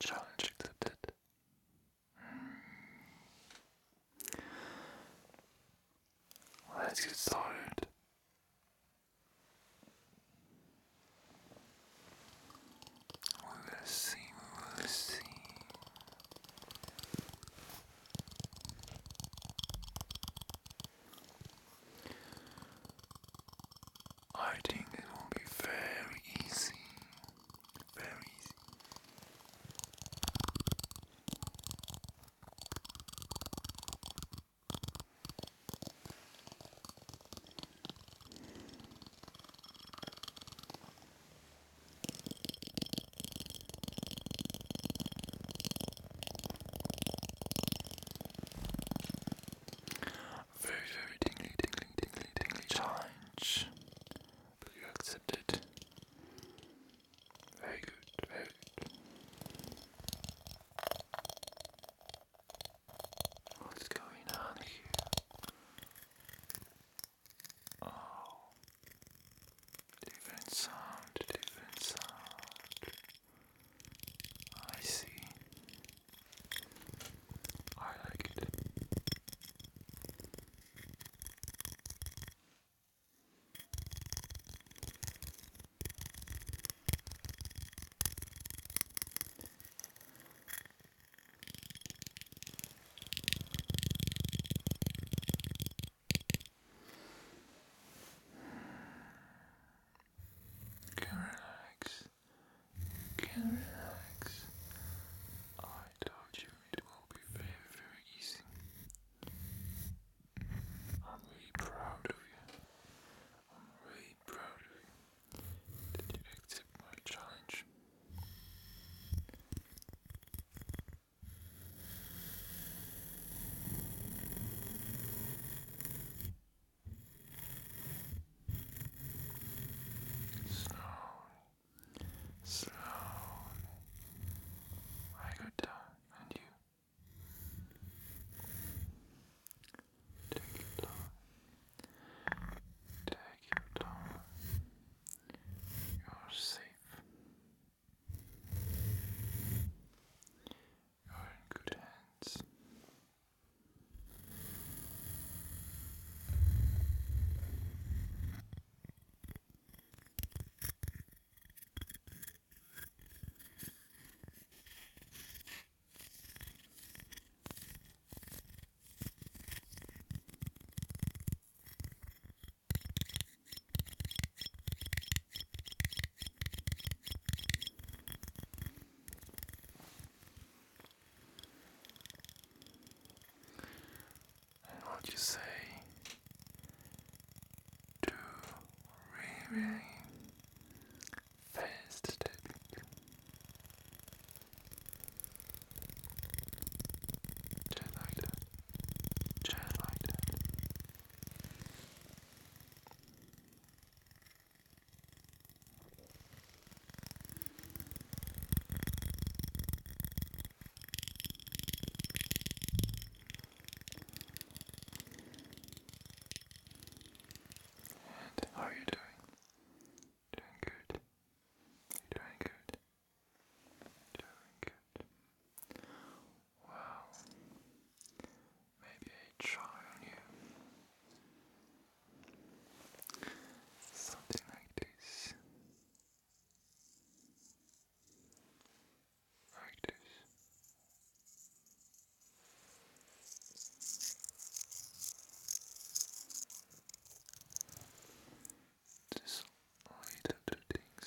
Challenge accepted. Let's get started. We will see, we see. I think it will be very easy. Very easy. Very, very tingly, tingly, tingly, tingly challenge. But you accept it. Very good, very good. What's going on here? Oh, different sound, different sound. I see. I like it can relax, can relax. I told you it will be very, very easy. I'm really proud of you. I'm really proud of you that you accept my challenge. Slow, slowly, I go down and you take your time, take your time, you're safe. You're in good hands. And what you say to really, really fast tapping, and how are you doing? Doing good. doing good. Doing good. Well, maybe a try on you. Something like this. Like this. Just little two things.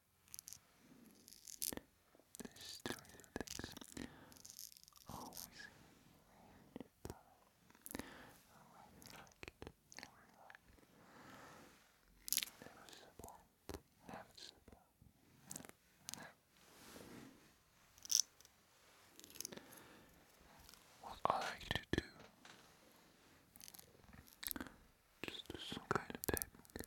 This story things always in I like it. Never support. Never support. What I like to do. Just do some kind of tapping.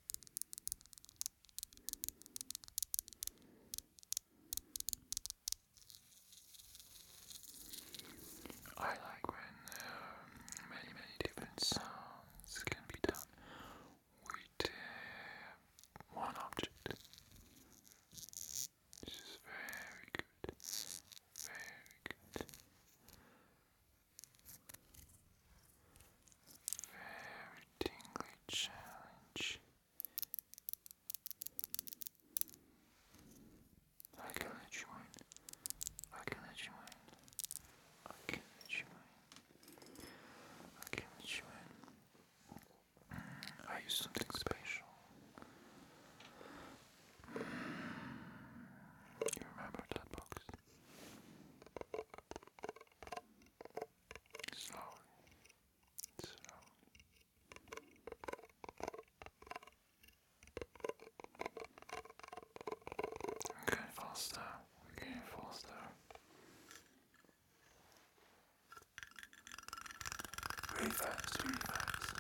I like when um, many, many different sounds can be done with uh, one object. This is very good, very good. Very tingly challenge. I can let you win. I can let you win. I can let you win. I can let you win. Mm, I use something special. Mm, you remember that box? slowly, slowly. we faster, we faster. Very fast, very fast, very fast.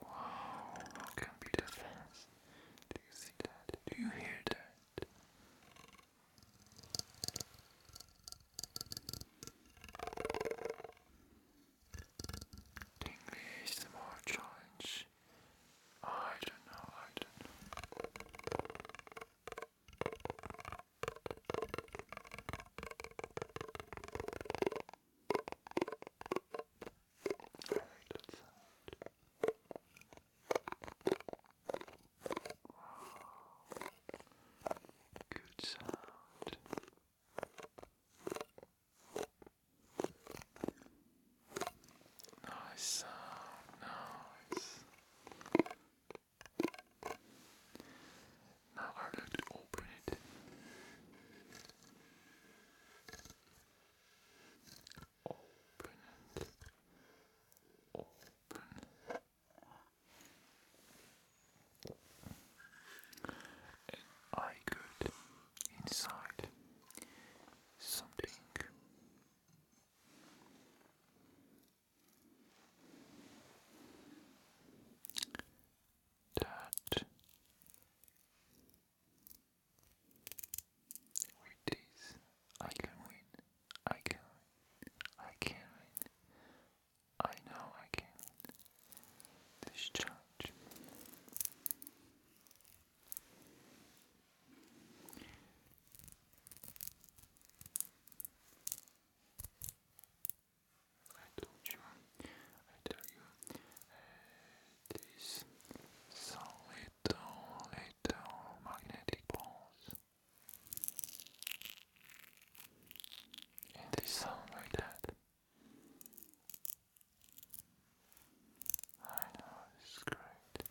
Wow, how can be that fast? Do you see that? Do you hear that? English the more challenge. I don't know, I don't know. I like that sound. Good sound. Nice sound, nice. Now I have to open it. Open it. Open. And I got inside something that with this I can win, I can I can win, I know I can this challenge. I told you, I tell you, these some little magnetic balls. And they sound like that. I know, it's great.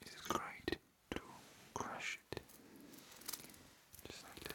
It is great to crush it just like that.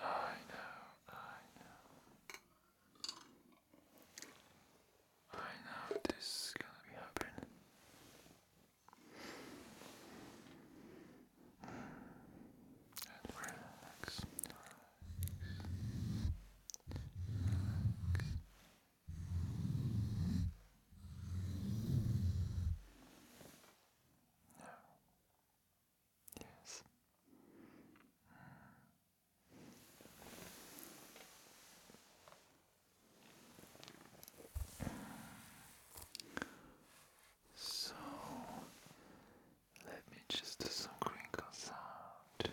I know, I know. I know this is gonna be happening. And relax, no. Yes. So let me just do some crinkle sound.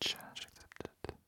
Change accepted.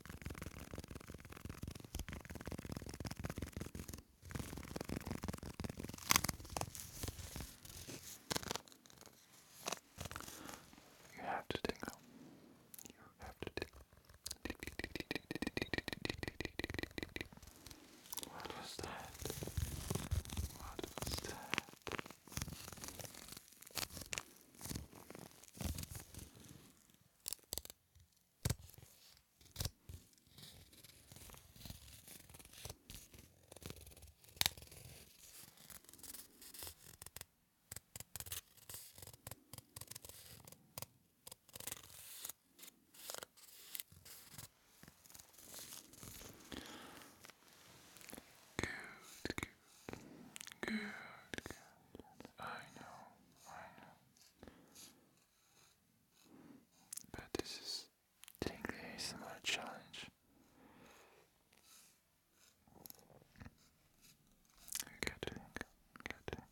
You have to tingle. You have to tingle. What was that? What was that? Good, good, good, good. I know, I know. But this is taking the ASMR challenge. Getting, getting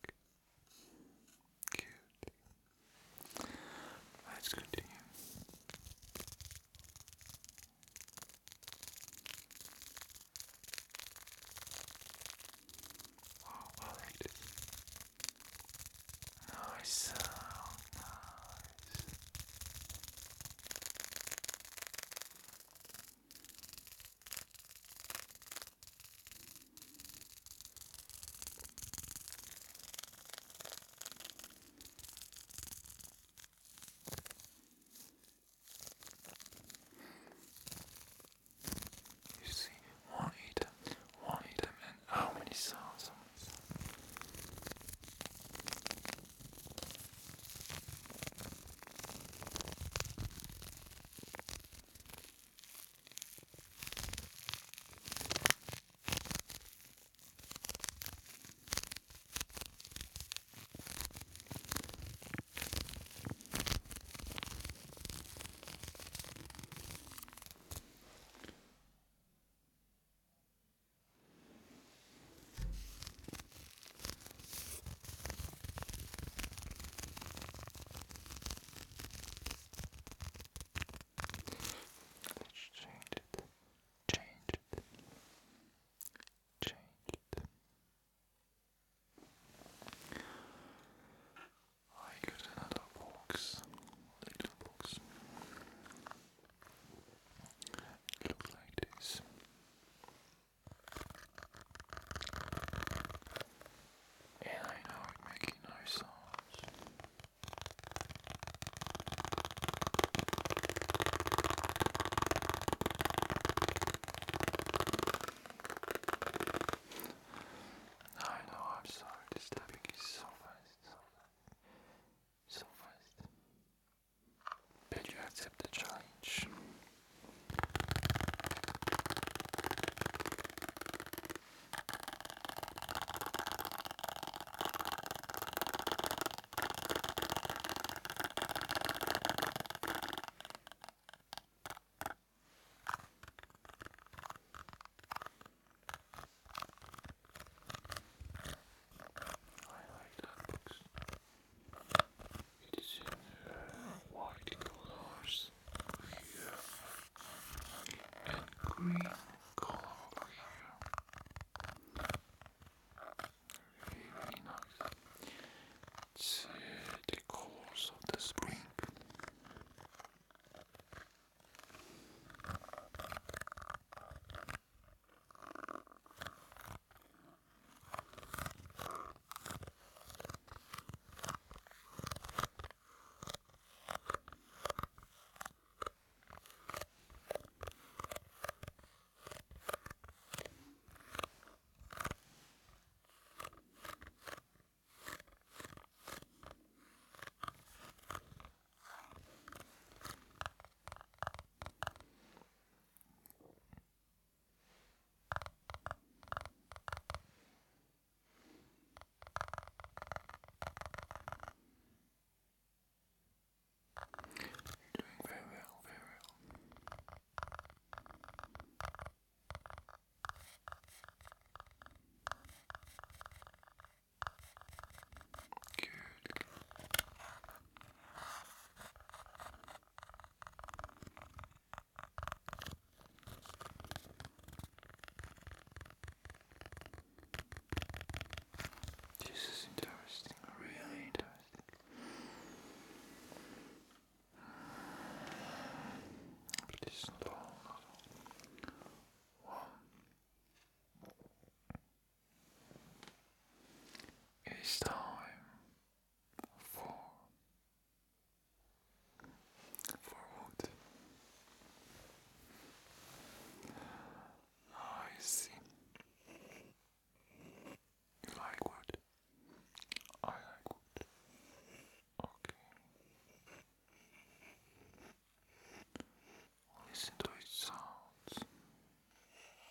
cute. Let's continue. Oh, alright. Nice sound, nice. You see, one item, one item, and how many songs? Let's change it. Change it. Change it. I got another box, little box. looks like this. And I know it making no sounds. I know, I'm sorry, this topic is so fast, so fast, so you accept the challenge. I like that box. It is in white colors here and green color here. Really nice to the course of the spring. Doing very well, very well. Good. This is interesting, really interesting please It's time for for what? I see. You like what? I like it. Okay. Listen to its sounds. Nice.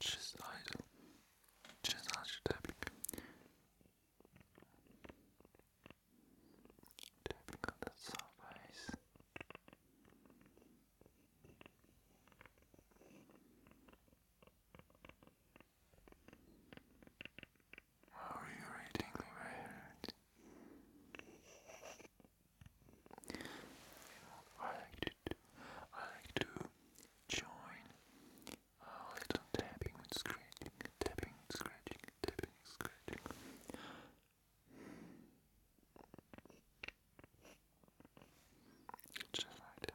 Just idle tebrik. Tebrik on the surface. How are you reading my hand? I like to I like to join a little tapping with scratching, tapping, scratching, tapping, scratching. Just like that.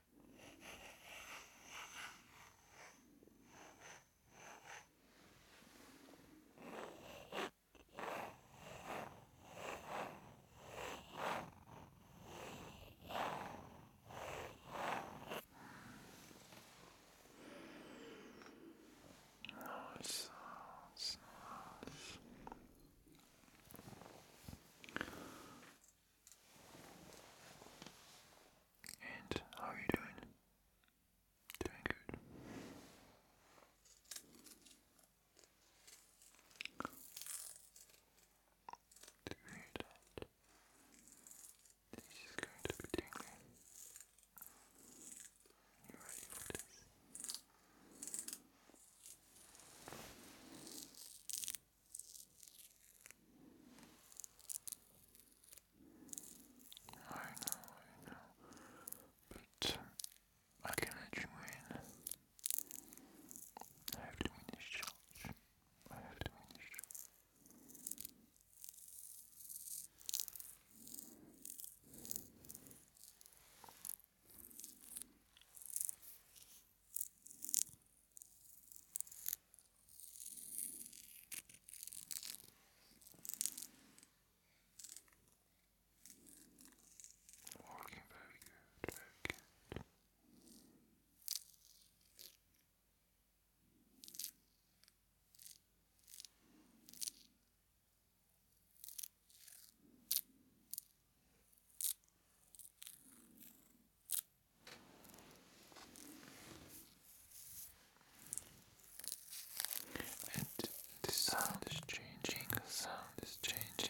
Nice sounds, nice. And how are you doing? Doing good. Do you This is going to be tingling. You ready for this? I know, I know, but I can let you in. I have to win this challenge. I have to win Walking very good, very good. And the sound is changing, the sound is changing.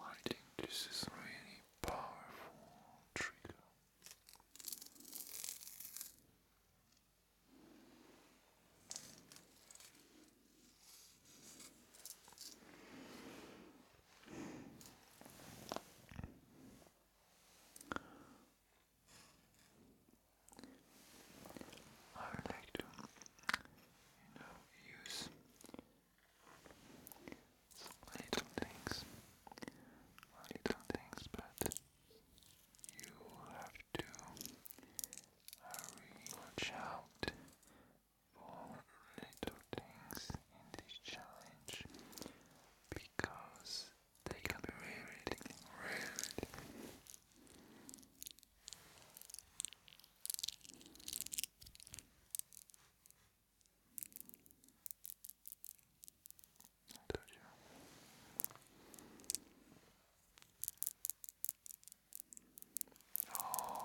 I think this is really powerful trigger. I would like to, you know, use some little things, little things, but you have to really watch out for little things in this challenge because they can be really, really. I told you. Oh.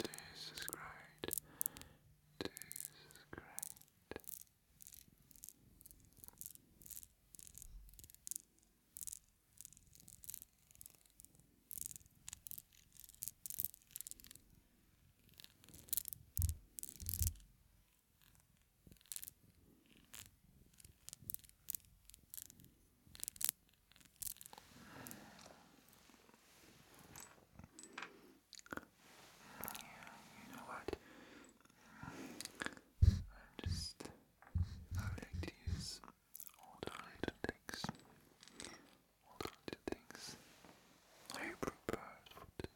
This is great. This you know what? I just I like to use Alternative things. Alternative things. Are you for this?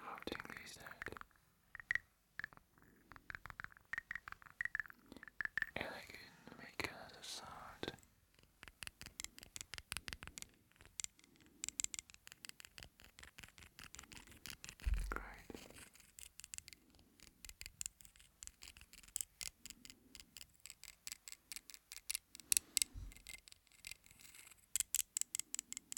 How do you that? And I can make another sound. Great.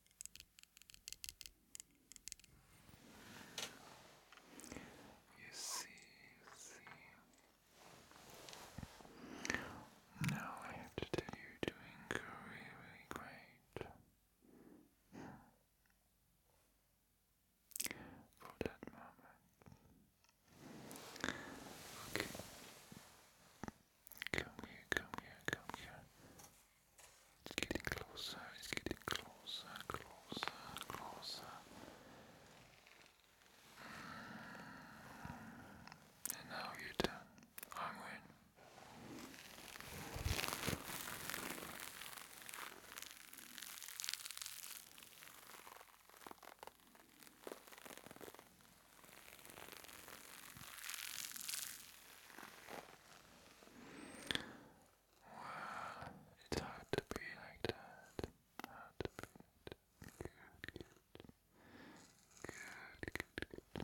You see, you see. Now I have to tell you, you're really great. For that moment. Okay. Come here, come here, come here. It's getting closer, it's getting closer, closer, closer. Mm. And now you turn. I'm in. It's hard to be like that. Hard to be good. Good,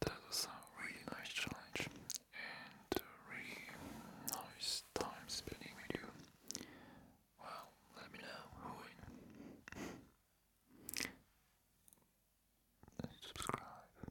that was a really nice challenge and really nice time spending with you. Well, let me know who win. subscribe.